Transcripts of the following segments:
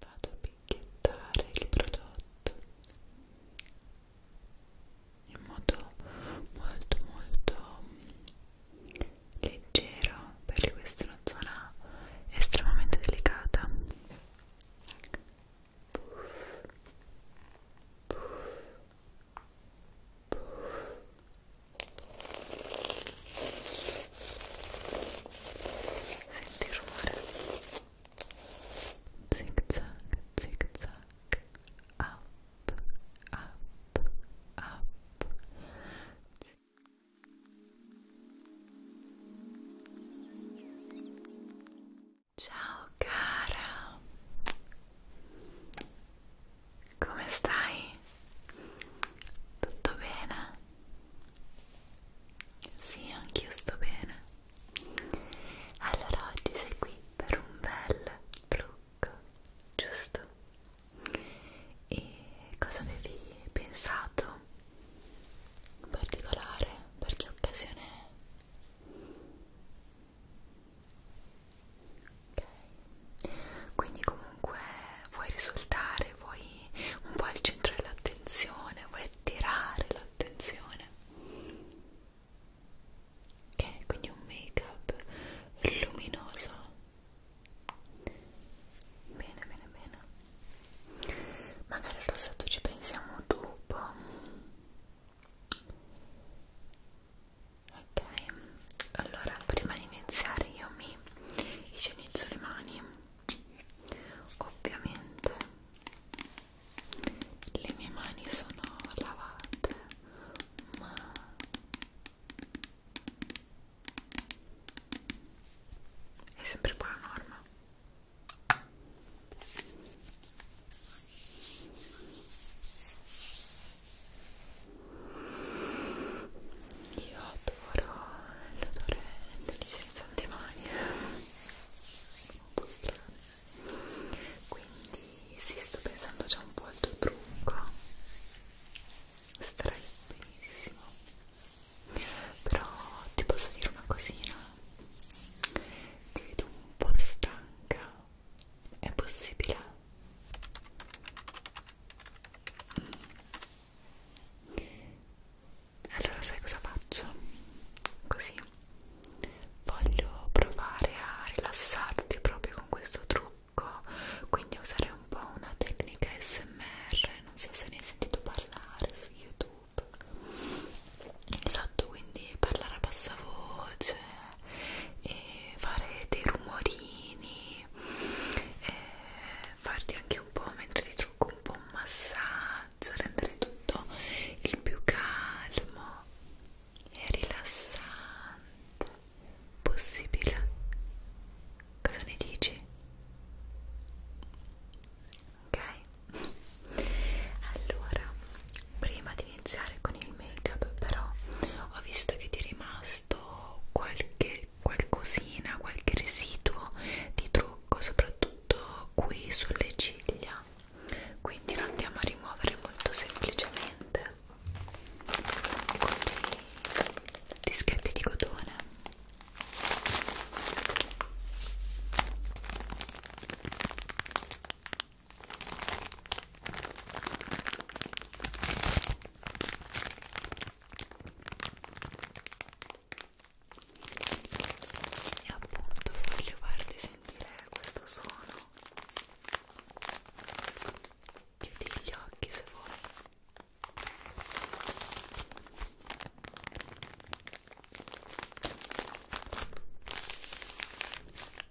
vado a picchiettare il prodotto in modo molto molto leggero perché questa è una zona estremamente delicata puff, puff, puff senti il rumore zig zag zig zag up up up Ciao cara, come stai? Tutto bene? Sì, anch'io sto bene. Allora oggi sei qui per un bel trucco, giusto? E cosa avevi pensato in particolare? Per che occasione è? Ok. Quindi comunque vuoi risultare, vuoi un po' al centro dell'attenzione, vuoi attirare l'attenzione ok quindi un make up luminoso bene bene bene magari al rossetto ci pensiamo dopo ok allora prima di iniziare io mi igienizzo le mani ovviamente le mie mani sono lavate ma è sempre buona norma io adoro l'odore degli schizzanti mani un po' strane quindi sì, sto pensando già un po' al tuo trucco starai benissimo però ti posso dire una cosina ti vedo un po' stanca è possibile? Mm allora sai cosa faccio? così voglio provare a rilassarti proprio con questo trucco quindi usare un po' una tecnica smr non so se ne hai sentito parlare su youtube esatto quindi parlare a bassa voce e fare dei rumorini e eh, farti anche un po' mentre ti trucco un po' un massaggio rendere tutto il più calmo e rilassante possibile cosa ne dici? ok? allora prima di iniziare con il make up però ho visto che ti è rimasto qualche qualcosina, qualche residuo di trucco lungo soprattutto qui sulle ciglia quindi lo andiamo a rimuovere molto semplicemente con dei dischetti di cotone e appunto voglio farti sentire questo suono chiudi gli occhi se vuoi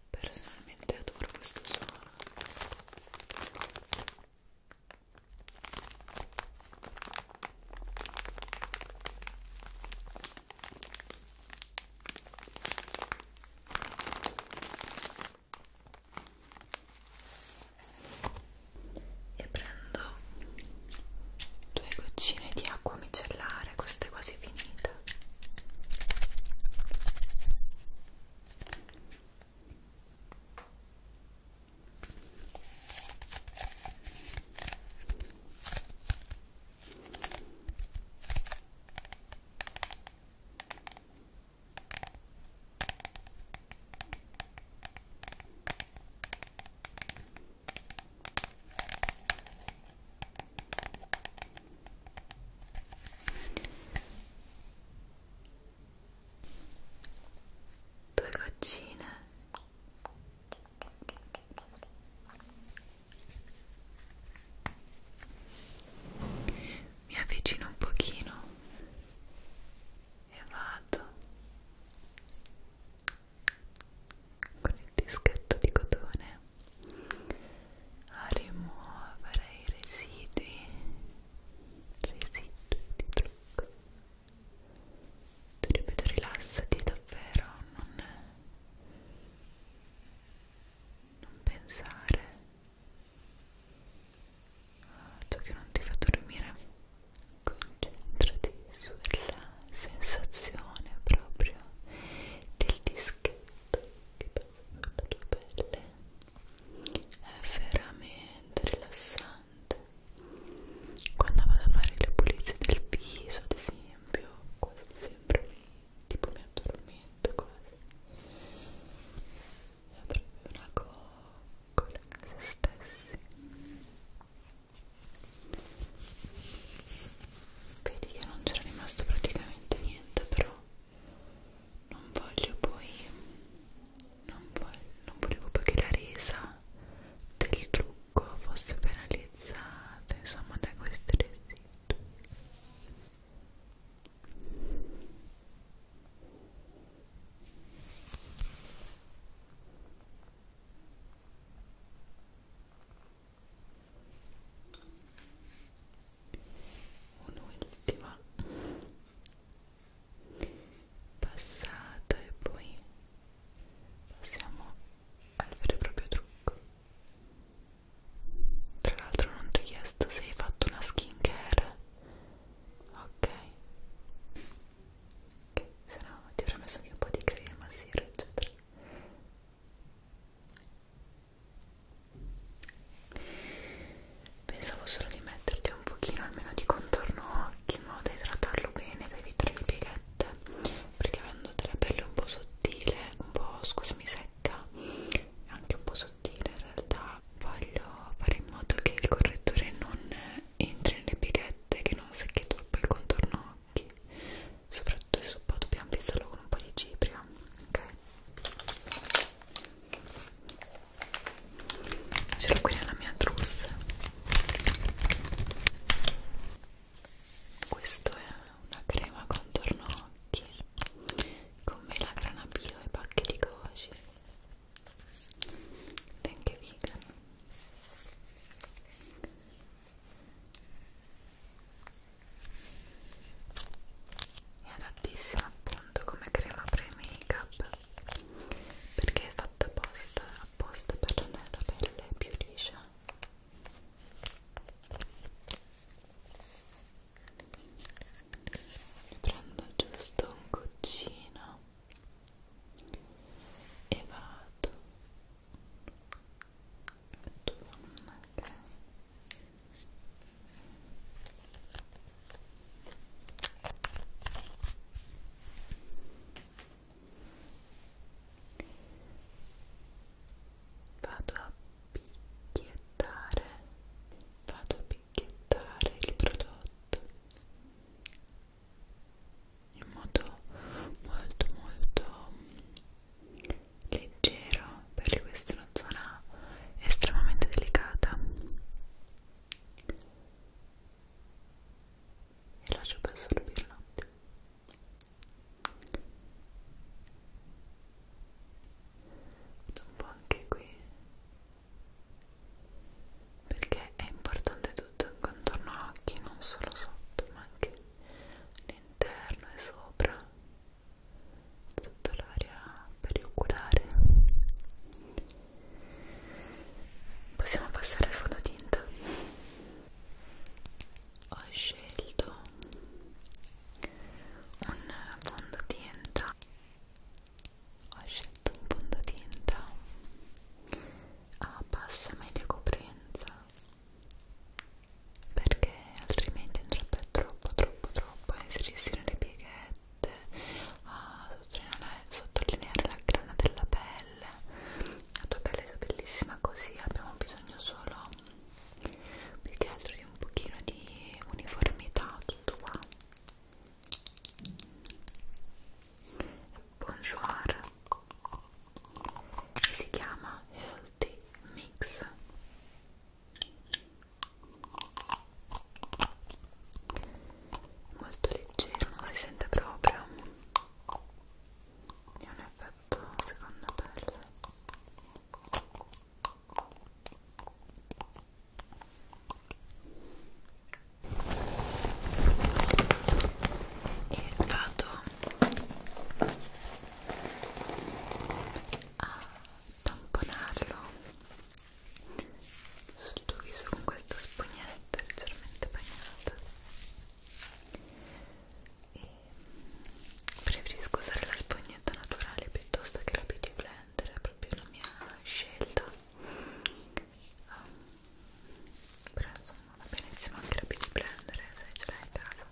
personalmente adoro questo suono e prendo due goccine di acqua micellare questa è quasi finita due goccine mi avvicino un pochino e vado con il dischetto di cotone a rimuovere i residui residui di trucco ti ripeto rilassati davvero non, non pensare a ah, ciò che non ti fa dormire concentrati sulla sensazione proprio del dischetto che passa sulla tua pelle è veramente rilassante quando vado a fare le pulizie del viso ad esempio quasi sempre tipo mi addormento quasi è proprio una coccola se stessi vedi che non c'era rimasto praticamente niente però non voglio poi non, voglio, non volevo poi che la resa del trucco Marocco fosse penalizzata insomma da questi residui un'ultima passata e poi passiamo al vero e proprio trucco tra l'altro non ti ho chiesto se hai fatto una skincare ok che se no ti avrei messo anche un po' di crema, sera eccetera pensavo solo di metterti un pochino almeno di contorno occhi in modo da idratarlo bene da evitare le pieghette perché avendo della pelle un po' sottile, un po' scusami secca, anche un po' sottile in realtà, voglio fare in modo che il correttore non entri nelle pighette, che non secchi troppo il contorno occhi, soprattutto il supporto dobbiamo fissarlo con un po' di cipria, ok? Ce l'ho qui nella mia trousse questo è una crema contorno occhi con melagrana bio e pacche di goji anche vegan è adattissima appunto come crema pre-make up perché è fatta apposta, apposta per rendere la pelle più liscia mi prendo giusto un goccino e vado metto una okay. Ecco vado a picchiettare vado a picchiettare il prodotto in modo molto molto leggero perché questa è una zona estremamente delicata e lascio per assorbire un attimo un po' anche qui perché è importante tutto il contorno occhi non solo sotto ma anche all'interno e sopra tutta l'area perioculare possiamo passare al fototinta ho scelto un fondotinta ho scelto un fondotinta a bassa media coprenza perché altrimenti andrebbe troppo troppo troppo a inserirsi le pieghette a sottolineare, sottolineare la grana della pelle la tua pelle è bellissima così abbiamo bisogno solo più che altro di un pochino di uniformità tutto qua bonjour e si chiama healthy mix molto leggero non si sente proprio è un effetto secondo pelle e vado a tamponarlo sul tuo viso con questa spugnetta leggermente bagnata e preferisco usare la spugnetta naturale piuttosto che la beauty blender è proprio la mia scelta um, però insomma va benissimo anche la beauty blender eh, se ce l'hai in casa okay.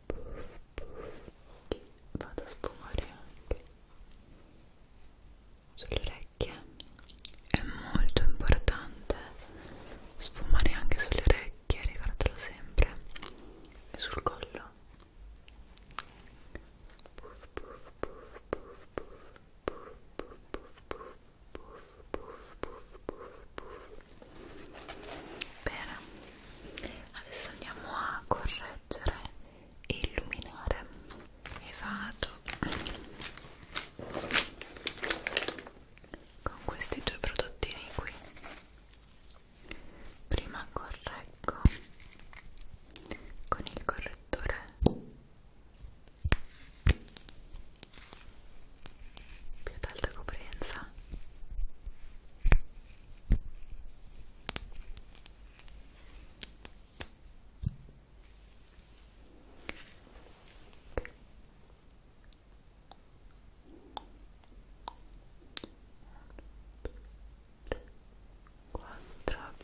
che vado a sfumare anche sulle orecchie è molto importante sfumare anche sulle orecchie ricordatelo sempre e sul collo puff, puff, puff, puff, puff, puff, puff, puff, puff, puff, puff, puff, puff. Bene, adesso andiamo a correggere e illuminare e vado con questi due prodottini qui prima correggo con il correttore più ad alta coprenza 4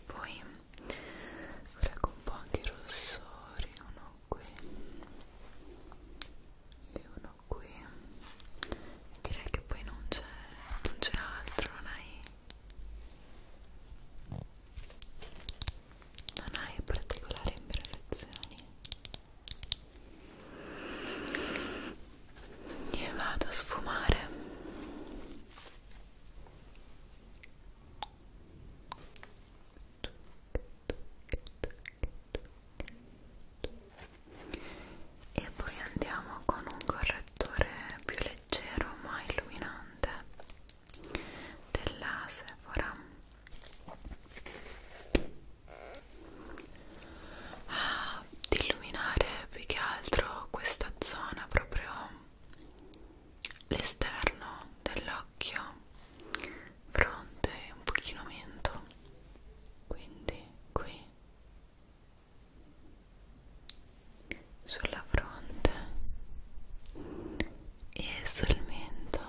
poi prego un po' anche i rossori uno qui e uno qui direi che poi non c'è non c'è altro non hai non hai particolari imperfezioni e vado a sfumare Tuc, tuc, tuc, tuc, tuc, tuc, tuc, tuc, e poi andiamo con un correttore più leggero ma illuminante della Sephora ah, di illuminare più che altro questa zona proprio l'esterno dell'occhio fronte un pochino mento quindi qui sulla fronte e sul mento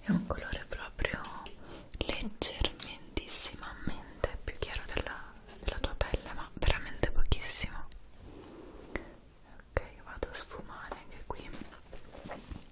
è un colore proprio leggermentissimamente più chiaro della, della tua pelle ma veramente pochissimo ok vado a sfumare anche qui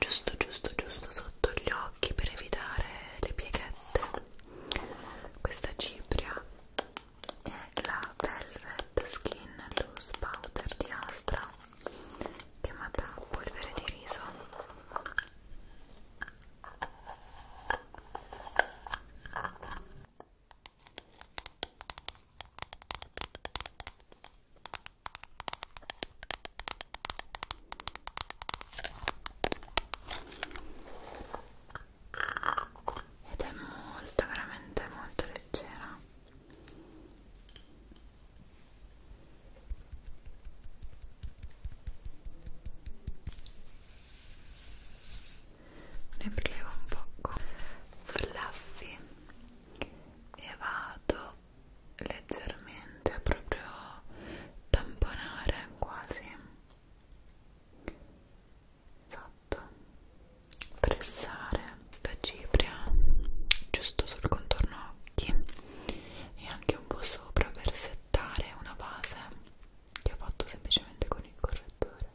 giusto giusto giusto sotto gli occhi per evitare le pieghette questa cipria è la Velvet Skin Loose Powder di Astra chiamata polvere di riso ed è molto veramente molto leggera ne prelevo un po' fluffy e vado leggermente veramente a proprio tamponare quasi esatto pressare la cipria giusto sul contorno occhi e anche un po' sopra per settare una base che ho fatto semplicemente con il correttore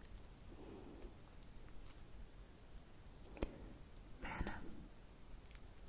bene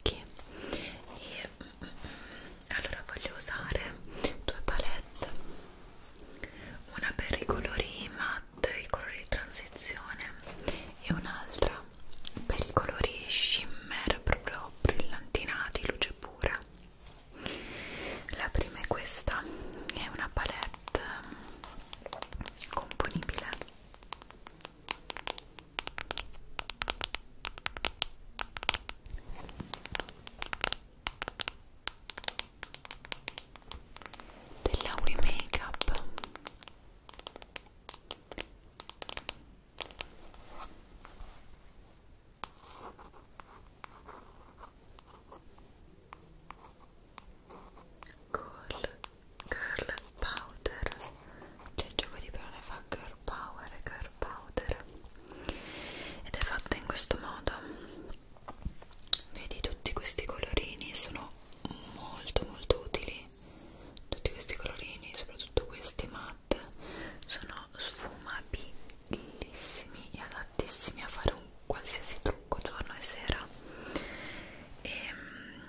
occhi e mm, allora voglio usare due palette una per i colori matte i colori di transizione e un'altra per i colori shimmer proprio brillantinati luce pura la prima è questa è una palette mm, componibile della We Makeup Cool Girl powder c'è il gioco di parole fa girl power e girl powder ed è fatta in questo modo vedi tutti questi colorini sono molto molto utili tutti questi colorini soprattutto questi matte sono sfumabilissimi e adattissimi a fare un qualsiasi trucco giorno e sera e ehm,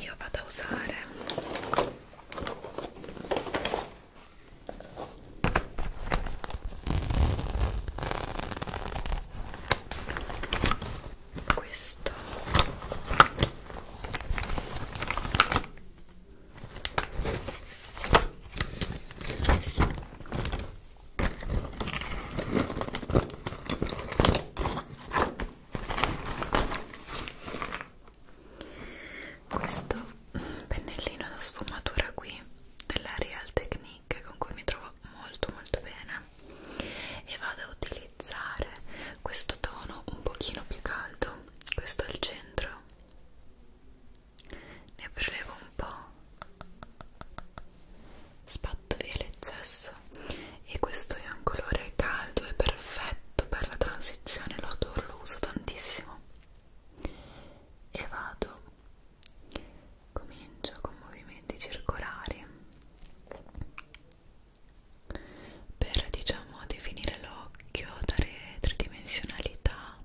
io vado a usare questo questo pennellino da sfumatura qui della Real Technique con cui mi trovo molto molto bene e vado a utilizzare questo tono un pochino più caldo questo al centro ne prelevo un po' spatto via l'eccesso rosso e questo è un colore caldo e perfetto per la transizione, lo adoro, lo uso tantissimo e vado comincio con movimenti circolari per diciamo definire l'occhio, dare tridimensionalità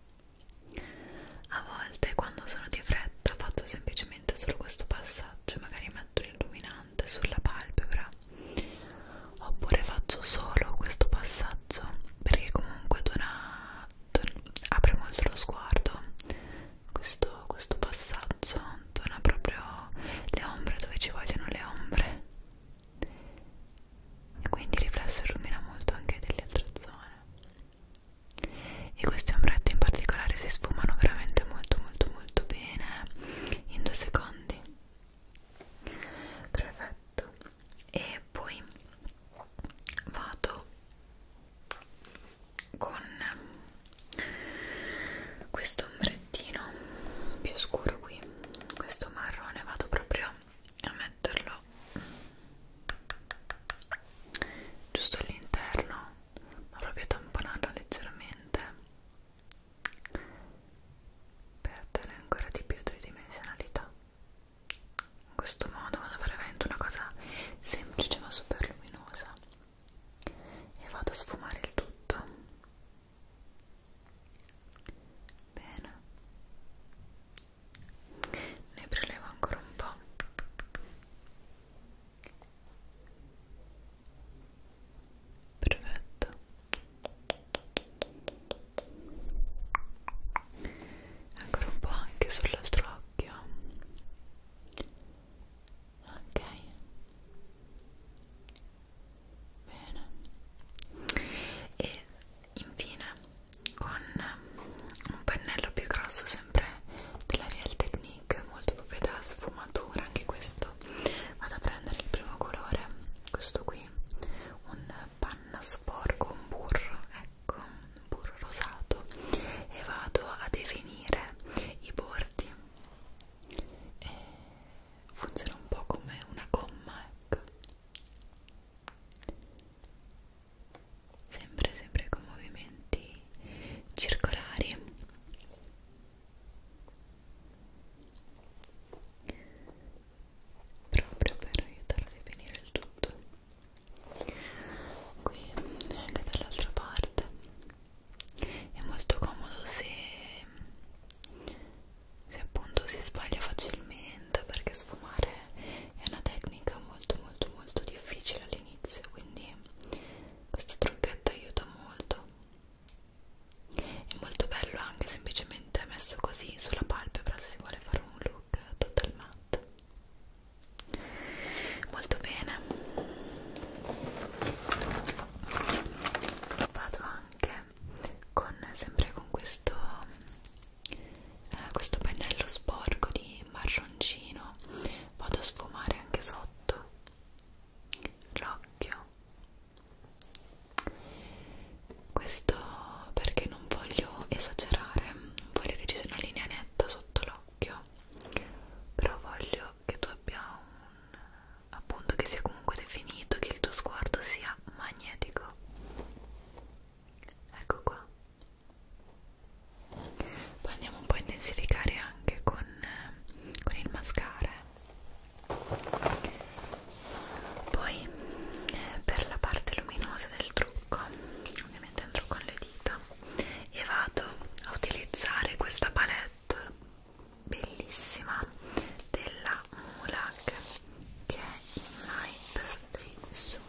a volte quando sono di fretta faccio semplicemente solo questo passaggio magari mi metto l'illuminante sulla palpebra oppure faccio solo questo passaggio perché comunque dona, don, apre molto lo sguardo questo, questo passaggio dona proprio le ombre dove ci vogliono le ombre e quindi il riflesso illumina molto anche delle altre zone e questi ombretti in particolare si sfumano veramente molto molto molto bene in due secondi perfetto e poi vado con questo ombrettino più scuro qui questo marrone vado proprio a metterlo giusto all'interno ma proprio a tamponarlo leggermente per dare ancora di più tridimensionalità in questo modo vado a fare veramente una cosa semplice ma super luminosa e vado a sfumare il tutto bene ne prelevo ancora un po' perfetto ancora un po' anche sull'altro occhio ok bene e infine con un pennello più grosso sempre della Real Technique molto proprietà sfumatura anche questo vado a prendere il primo colore questo qui un panna sporco un burro ecco un burro rosato e vado a definire i bordi e funziona un po' come una gomma ecco sempre sempre con movimenti circolari proprio per aiutare a definire il tutto qui e anche dall'altra parte è molto comodo se, se appunto si sbaglia facilmente perché sfumare è una tecnica molto molto molto difficile all'inizio quindi questo trucchetto aiuta molto è molto bello anche semplicemente messo così sulla palpebra se si vuole fare un look total matte molto bene vado anche con sempre con questo eh, questo pennello sporco di marroncino vado a sfumare anche sotto l'occhio questo perché non voglio esagerare voglio che ci sia una linea netta sotto l'occhio però voglio che tu abbia un appunto che sia comunque definito che il tuo sguardo sia magnetico ecco qua poi andiamo un po' a intensificare anche con, con il mascara poi per la parte luminosa del trucco ovviamente andrò con le dita e vado a utilizzare questa palette bellissima della Mulak che è in My Birthday Su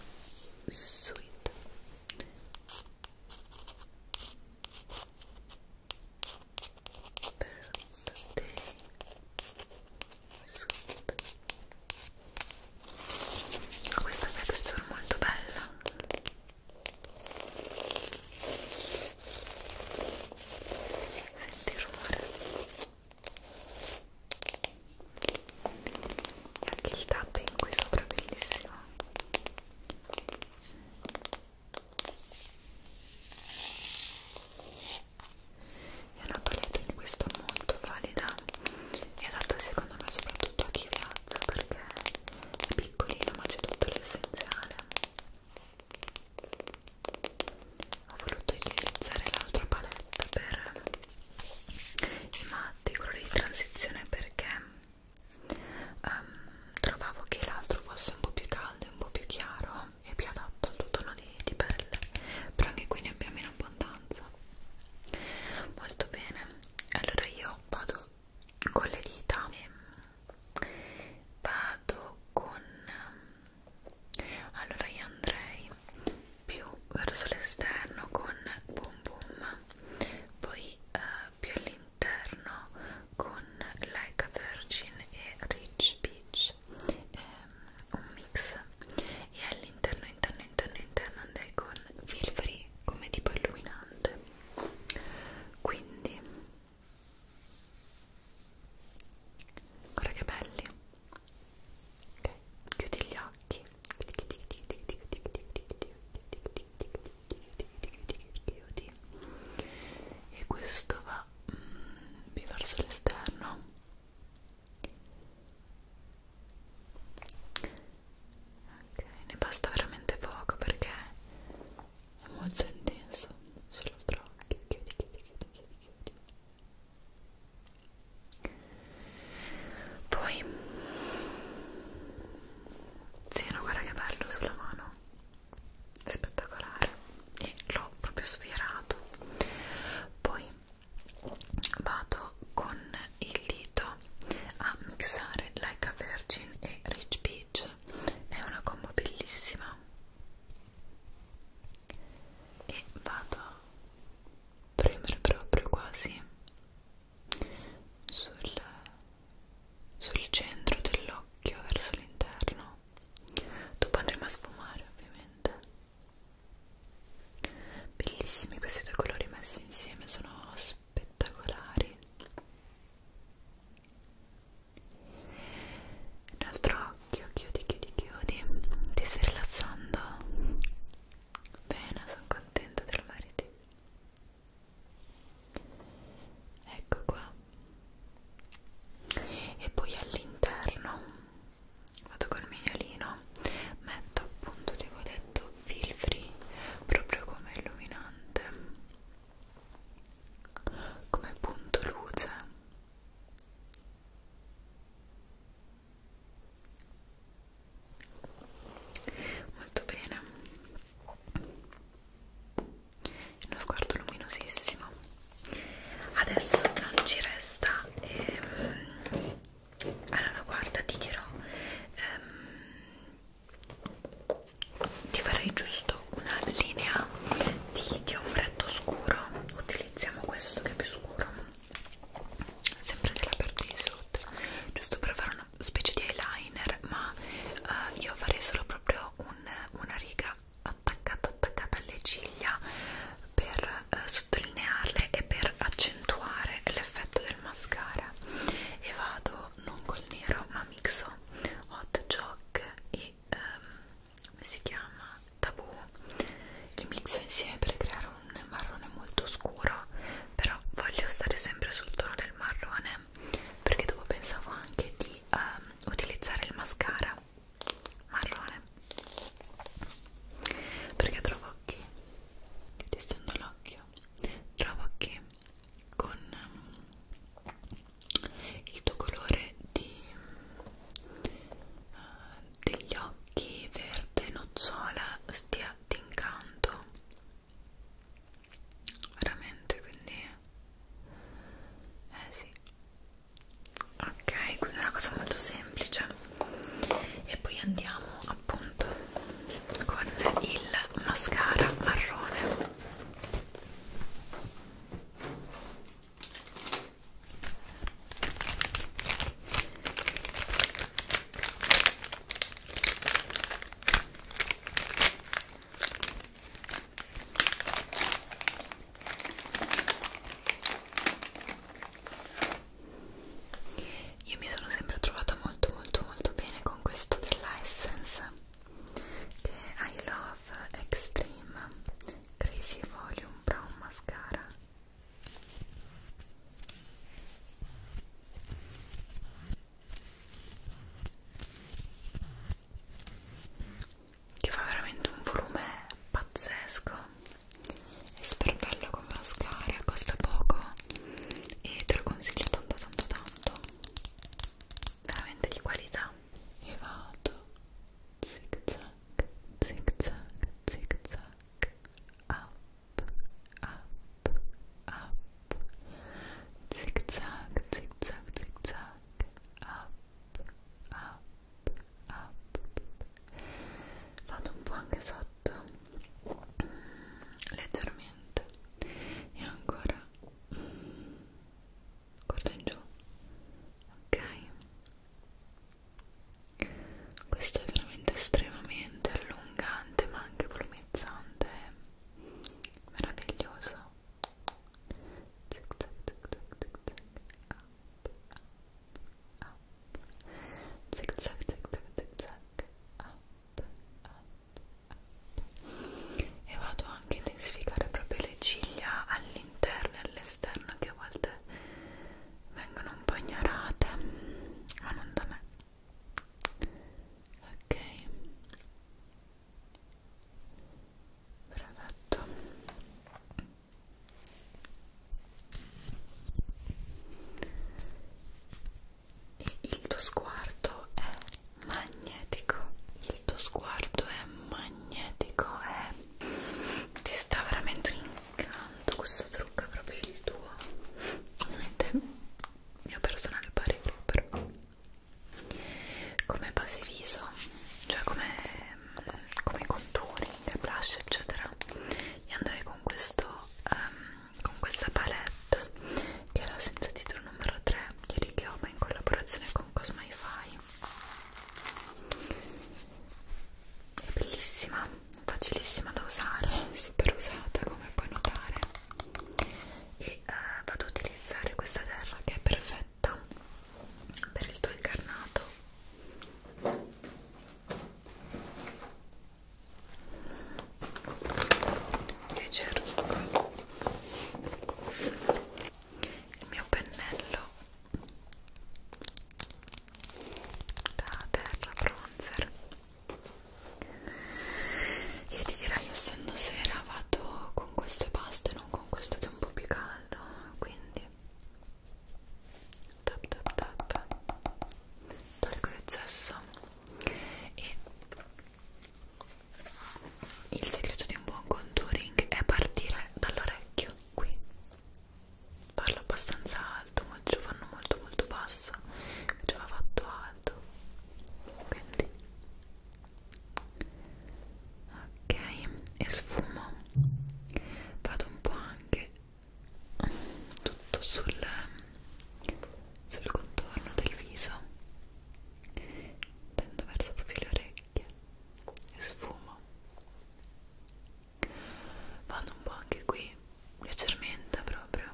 Sweet birthday suit questa è una texture molto bella senti il rumore e anche il tapping qui sopra è bellissimo è una palette in questo molto valida e adatta secondo me soprattutto a chi viaggia perché è piccolina ma c'è tutto l'essenziale ho voluto utilizzare l'altra palette per i matti, i colori di transizione perché um, trovavo che l'altro fosse un po' più caldo e un po' più chiaro e più adatto al tuo tono di, di pelle però anche qui ne abbiamo in abbondanza molto bene allora io vado con le dita e vado con allora io andrei più verso l'esterno con boom boom poi eh, più all'interno con Like a Virgin e Rich Peach ehm, un mix e all'interno, interno, interno, interno andai con Filfree come tipo illuminante quindi guarda che belli ok, chiudi gli occhi chiudi e questo va gira mm, più verso l'esterno ok ne basta veramente poco perché è molto intenso solo tra occhi chiudi chiudi chiudi chiudi chiudi poi sì no guarda che bello sulla mano spettacolare e l'ho proprio sfiorato poi vado con il dito a mixare Like a Virgin e Rich Peach è una combo bellissima e vado a premere proprio quasi sul, sul centro dell'occhio verso l'interno no dopo andremo a sfumare ovviamente bellissimi questi due colori messi insieme sono spettacolari l'altro occhio chiudi chiudi chiudi ti stai rilassando bene sono contenta te lo meriti ecco qua e poi all'interno vado col mignolino metto appunto tipo detto feel free proprio come illuminante come punto luce molto bene uno sguardo luminosissimo adesso non ci resta ehm, allora guarda ti dirò ehm, ti farei giusto una linea di, di ombretto scuro utilizziamo questo che è più scuro sempre della parte di sotto giusto per fare una specie di eyeliner ma eh, io farei solo proprio un, una riga attaccata attaccata alle ciglia per eh, sottolinearle e per accentuare l'effetto del mascara e vado non col nero ma mixo hot jock e ehm, come si chiama tabù li mixo insieme per creare un marrone molto scuro però voglio stare sempre sul tono del marrone perché dopo pensavo anche di ehm, utilizzare il mascara marrone perché trovo che testando l'occhio trovo che con um, il tuo colore di, uh, degli occhi verde nocciola stia d'incanto veramente quindi eh sì ok quindi è una cosa molto semplice e poi andiamo appunto con il mascara marrone io mi sono sempre trovata molto molto molto bene con questo della Essence che è I Love Extreme Crazy Volume Brown Mascara che fa veramente un volume pazzesco è super bello come mascara costa poco e te lo consiglio tanto tanto tanto veramente di qualità e vado zig zag zig zag zig zag up up up zig zag zig zag zig zag up up up vado un po' anche sotto mm, leggermente e ancora guarda mm, in giù ok questo è veramente estremamente allungante ma anche volumizzante meraviglioso tic tac tic tac tic tac up up up, zig zag, zig zag, zig zag, up, up, up. E vado anche a intensificare proprio le ciglia all'interno e all'esterno che a volte vengono un po' ignorate, ma non da me. Ok. Perfetto e il tuo sguardo è magnetico il tuo sguardo è magnetico è ti sta veramente un incanto questo trucco è proprio il tuo ovviamente mio personale parere però come base viso cioè come Ehm, come contouring, blush eccetera e andrei con questo um, con questa palette che è la senza titolo numero 3 di Richioma in collaborazione con Cosmify è bellissima, facilissima da usare, super usata come puoi notare e uh, vado ad utilizzare questa terra che è perfetta per il tuo incarnato Invece rubo il mio pennello da terra bronzer io ti direi essendo sera vado con questo e basta e non con questo che è un po' più caldo quindi tap tap tap tolgo l'eccesso e il segreto di un buon contouring è partire dall'orecchio qui parlo abbastanza alto molti lo fanno molto molto basso invece va fatto alto quindi ok e sfumo vado un po' anche tutto sul, sul contorno del viso tendo verso proprio le orecchie e sfumo vado un po' anche qui leggermente proprio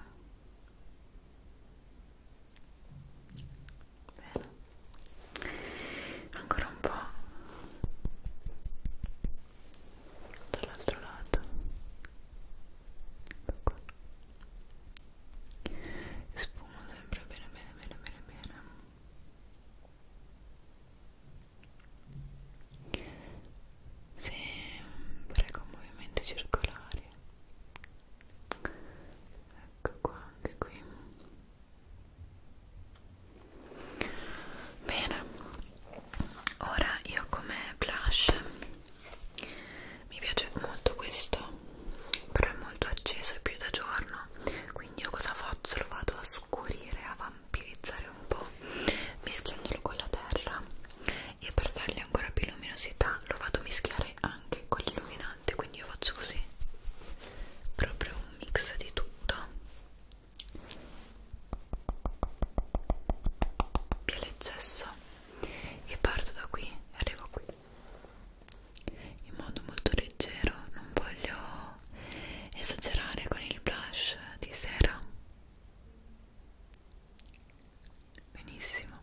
bene ancora un po' dall'altro lato ecco qua sfumo sempre bene bene bene bene bene sempre con movimenti circolari ecco qua anche qui bene ora io come blush mi piace molto questo però è molto acceso più da giorno quindi io cosa faccio? lo vado a scurire a vampirizzare un po' mischiandolo con la terra e per dargli ancora più luminosità lo vado a mischiare anche con l'illuminante quindi io faccio così proprio un mix di tutto più l'eccesso e parto da qui e arrivo qui in modo molto leggero non voglio esagerare con il blush di sera benissimo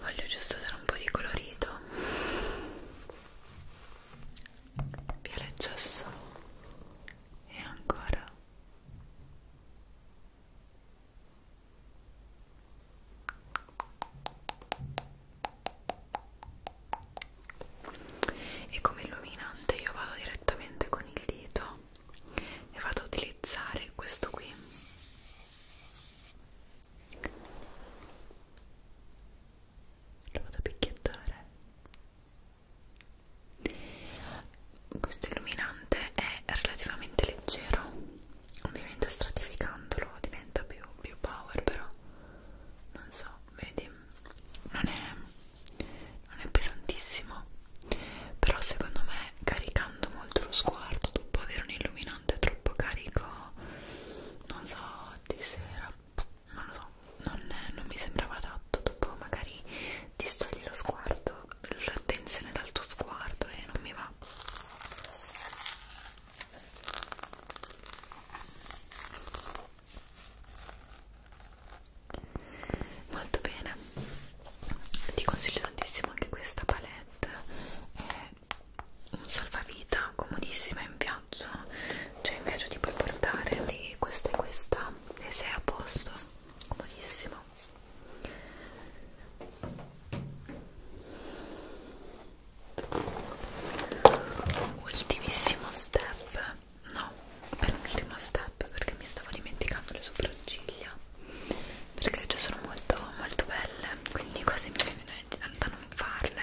voglio giusto dare un po' di colorito via l'accesso e ancora e come illuminante io vado direttamente con il dito e vado a utilizzare questo qui lo vado a picchiettare questo illuminante è relativamente leggero ovviamente stratificandolo diventa più, più power però non so vedi non è, non è pesantissimo però secondo me caricando molto lo sguardo dopo avere un illuminante troppo carico non so di sera non lo so, non, non mi sembrava adatto. Dopo magari ti stogli lo sguardo, l'attenzione dal tuo sguardo e non mi va. Molto bene, ti consiglio tantissimo anche questa palette, è un salvavita comodissima in bianco piacciono cioè mi piace tipo portare lì questa e questa e sei a posto comodissimo ultimissimo step no penultimo step perché mi stavo dimenticando le sopracciglia perché le già sono molto molto belle quindi quasi mi viene da non farle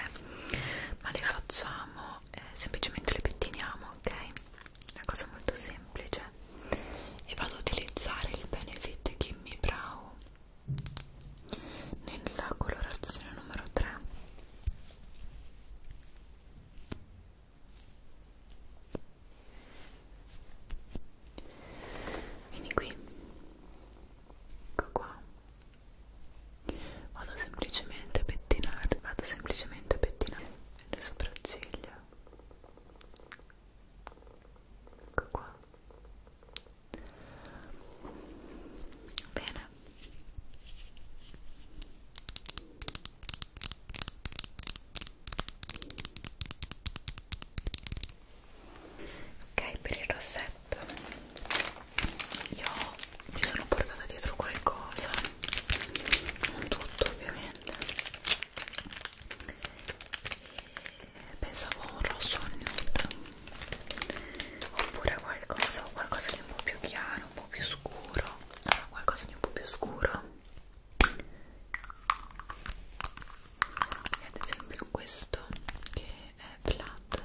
ma le facciamo eh, semplicemente le pettiniamo, ok? Una cosa molto semplice. E vado ad utilizzare il Benefit Gimme Brow nella colorazione numero 3. Vieni qui, ecco qua vado semplicemente a pettinare vado semplicemente a pettinare le sopracciglia ecco qua bene ok per il rossetto io mi sono portata dietro qualcosa non tutto ovviamente e pensavo a un rosso nude oppure qualcosa qualcosa di un po' più chiaro un po' più scuro allora, qualcosa di un po' più scuro e ad esempio questo che è flat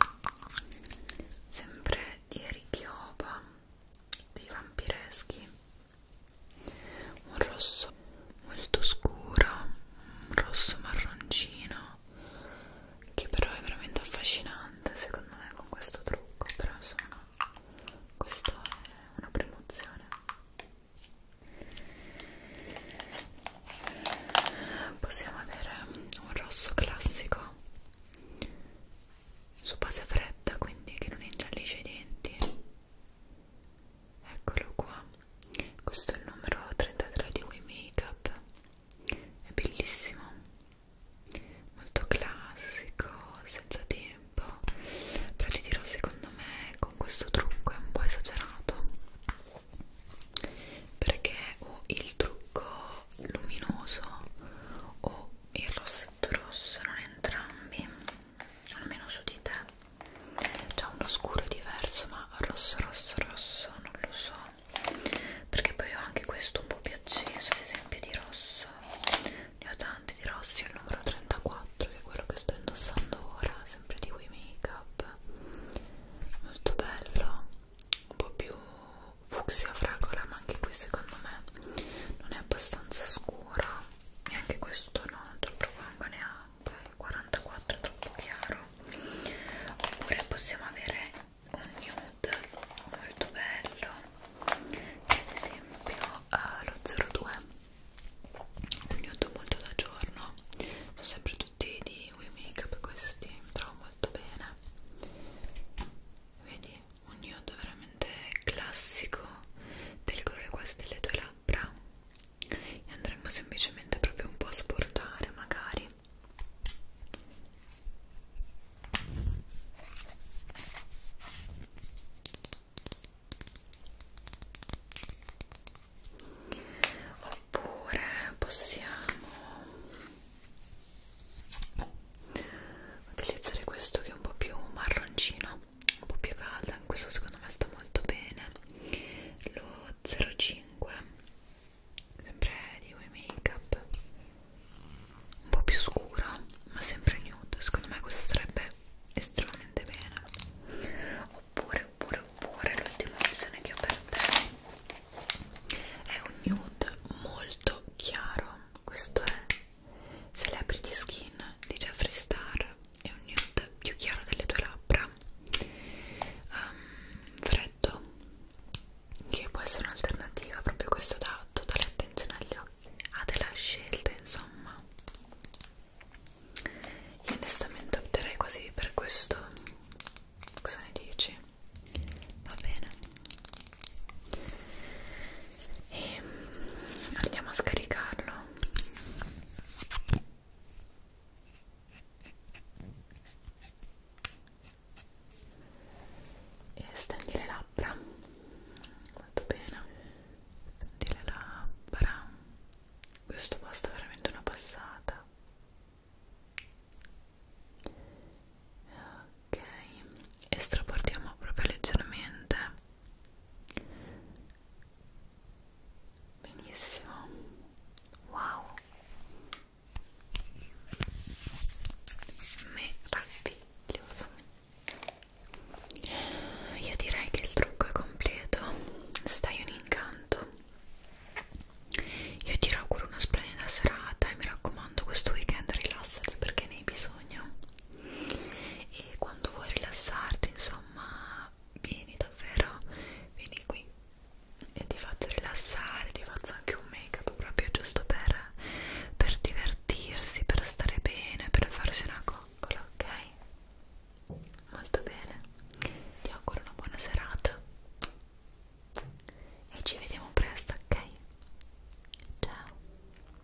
sempre di Erichioba dei vampireschi un rosso molto scuro un rosso marroncino che però è veramente affascinante secondo me con questo trucco però insomma questa è una promozione possiamo avere un rosso classico su base fredda quindi che non ingiallisce i denti eccolo qua questo è il numero 33 di Wii Makeup è bellissimo molto classico senza tempo però ti dirò secondo me con questo trucco è un po' esagerato perché o il trucco luminoso o il rossetto rosso non entrambi almeno su di te c'è uno scuro diverso ma rosso rosso rosso non lo so perché poi ho anche questo un po' più acceso ad esempio di rosso ne ho tanti di rossi il numero 34 che è quello che sto indossando ora sempre di Way Makeup molto bello un po' più fucsia fragola ma anche qui secondo me non è abbastanza scura neanche questo no, troppo manco neanche il 44 è troppo chiaro oppure possiamo avere un nude molto bello ad esempio eh, lo 02 un nude molto da giorno sono sempre tutti di We Makeup questi mi trovo molto bene vedi un nude veramente classico del colore quasi delle tue labbra e andremo semplicemente proprio un po' a sportare magari oppure possiamo utilizzare questo che è un po' più marroncino un po' più caldo in questo secondo me sta molto bene lo 05 sempre di Way Makeup un po' più scuro ma sempre nude secondo me questo sarebbe estremamente bene oppure oppure oppure l'ultima opzione che ho per te è un nude molto chiaro questo è Celebrity Skin di Jeffree Star è un nude più chiaro delle tue labbra um, freddo che può essere un'alternativa proprio questo dà totale attenzione agli occhi ha ah, della scelta insomma io onestamente opterei quasi per questo cosa ne dici? va bene e mm, andiamo a scaricarlo e stendi le labbra molto bene stendi le labbra questo basta veramente una passata ok estraportiamo proprio leggermente benissimo wow meraviglioso io direi che il trucco è completo stai un incanto io ti auguro una splendida serata e mi raccomando raccomando questo weekend rilassati perché ne hai bisogno e quando vuoi rilassarti insomma vieni davvero vieni qui e ti faccio rilassare ti faccio anche un make up proprio giusto per, per divertirsi per stare bene per farsi una coccola ok molto bene ti auguro una buona serata e ci vediamo presto ok ciao